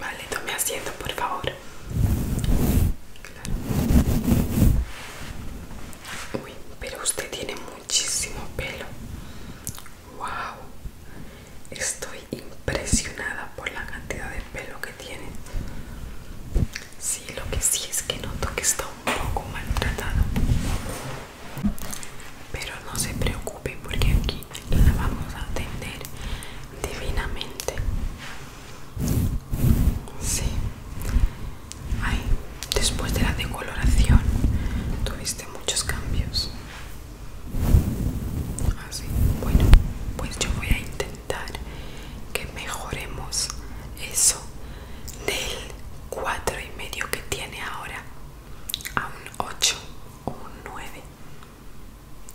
Vale, tome asiento, por favor. Uy, pero usted tiene muchísimo pelo. ¡Wow! Estoy impresionada por la cantidad de pelo que tiene. Sí, lo que sí es que noto que está un poco maltratado. Pero no se preocupe porque aquí la vamos a atender divinamente. Sí. después de la decoloración tuviste muchos cambios. Así. Ah, bueno, pues yo voy a intentar que mejoremos eso del 4 y medio que tiene ahora a un 8 o un 9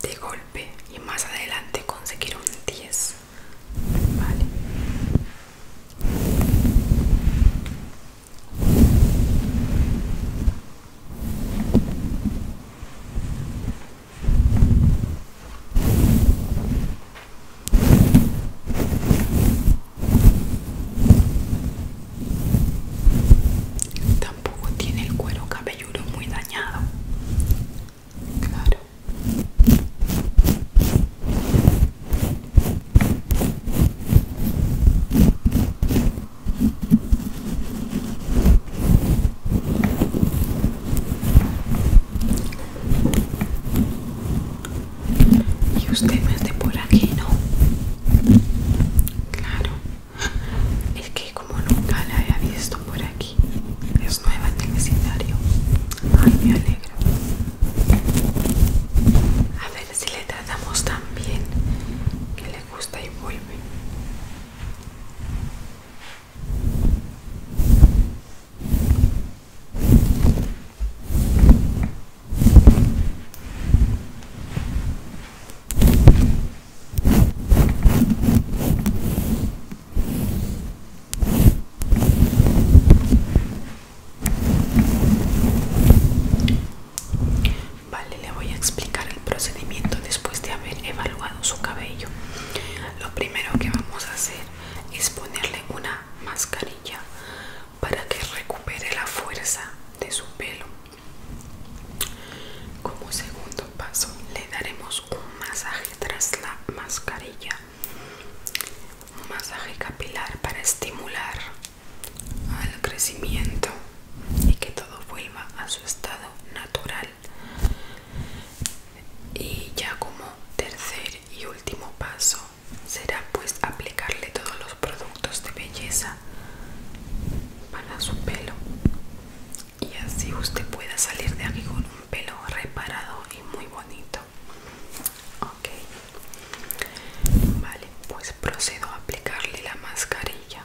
de golpe y más adelante conseguir un 10 vale Tampoco tiene el cuero cabello muy dañado. Claro. Y usted me de por aquí, ¿no? Claro. Es que como nunca la había visto por aquí, es nueva en el vecindario. Ay, me alegro. A ver si le tratamos tan bien que le gusta y vuelve. Vale, le voy a explicar el procedimiento después de haber evaluado su cabello. Lo primero que vamos a hacer es ponerle una mascarilla para que recupere la fuerza de su pelo. Como segundo paso le daremos un masaje tras la mascarilla. Un masaje capilar para estimular al crecimiento y que todo vuelva a su estado natural. Y ya como tercer y último paso será pues aplicarle todos los productos de belleza para su pelo y así usted pueda salir de aquí con un pelo reparado y muy bonito ok vale pues procedo a aplicarle la mascarilla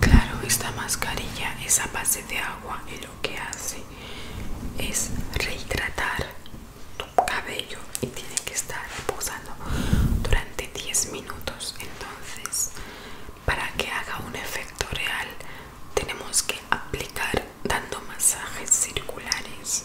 Claro, esta mascarilla es a base de agua y lo que hace es rehidratar tu cabello y tiene que estar posando durante 10 minutos entonces para que haga un efecto real tenemos que aplicar dando masajes circulares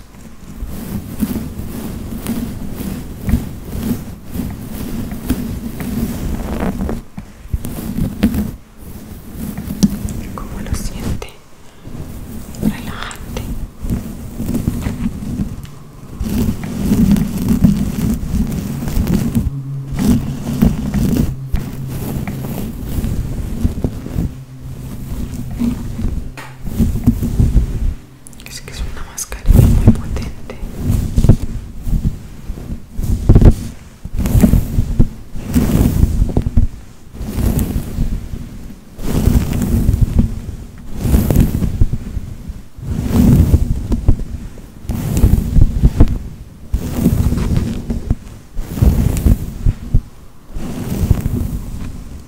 como lo siente relajante es que es una mascarilla muy potente.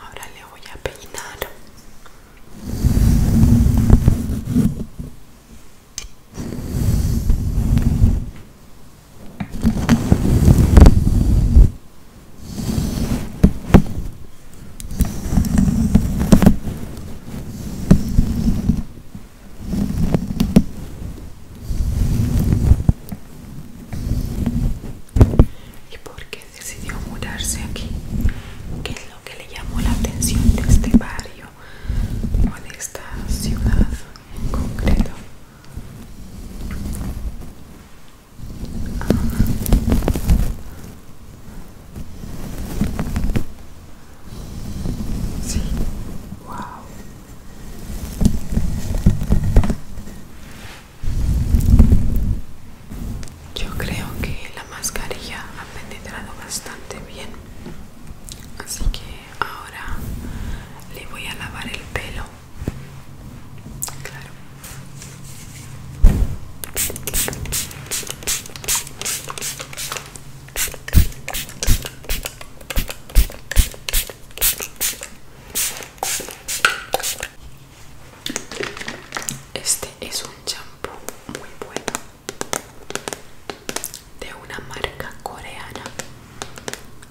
Ahora le voy a peinar y por qué decidió mudarse aquí, qué es lo que le llamó la atención de este barrio o de esta ciudad en concreto. Sí, wow. Yo creo que la mascarilla ha penetrado bastante bien. Así que ahora le voy a lavar el pelo. Claro. Este es un champú muy bueno de una marca coreana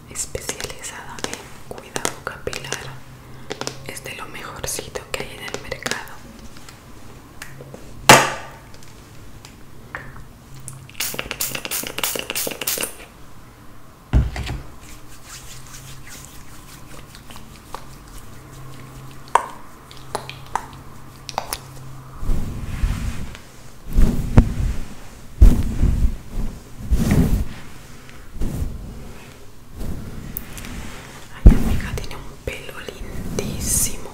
especializada en cuidado capilar. Es de lo mejorcito que hay en el mercado mi amiga, tiene un pelo lindísimo.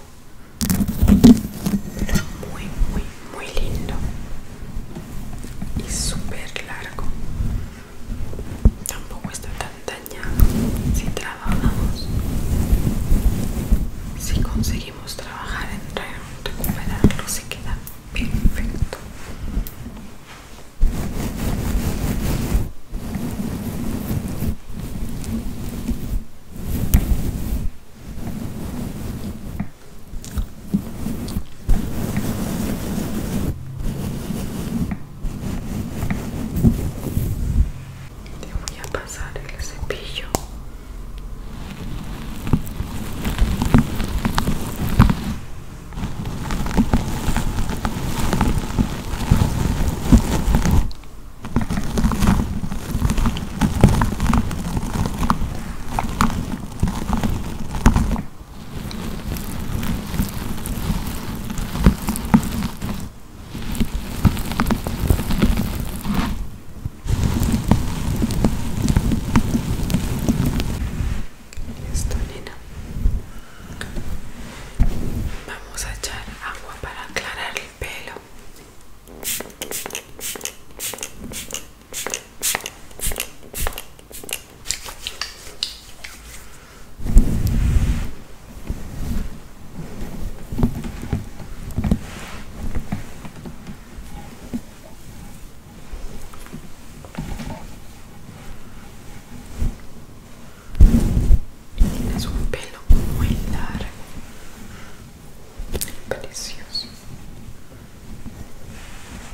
Muy, muy, muy lindo. Y super largo tampoco está tan dañado si trabajamos si conseguimos trabajar en recuperarlo se queda perfecto te voy a pasar el cepillo. Listo, Vamos a echar agua para aclarar el pelo. Tienes un pelo muy largo, precioso.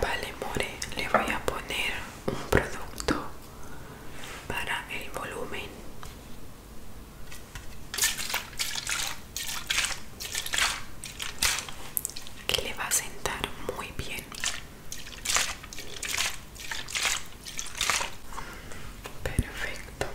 Vale, More, le voy a poner un producto para el volumen que le va a sentar muy bien perfecto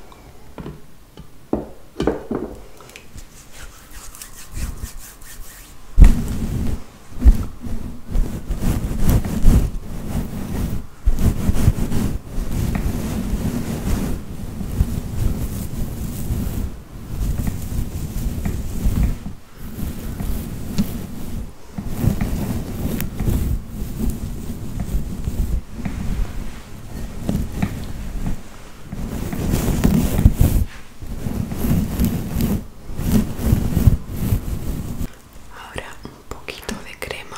Ahora un poquito de crema.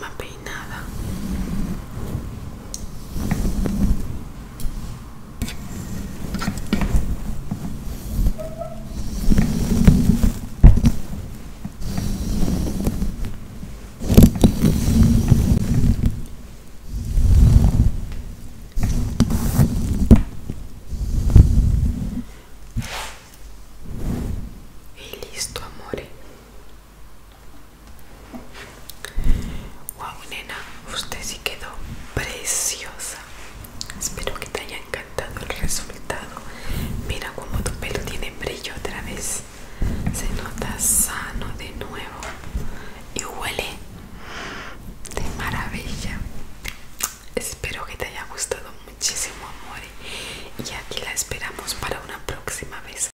La última nada Y listo, amore. Wow, nena, usted sí quedó preciosa. Espero que te haya encantado el resultado. Mira cómo tu pelo tiene brillo otra vez. Se nota sano de nuevo y huele de maravilla. Espero que te haya gustado muchísimo, amor. Y aquí la esperamos para una próxima vez.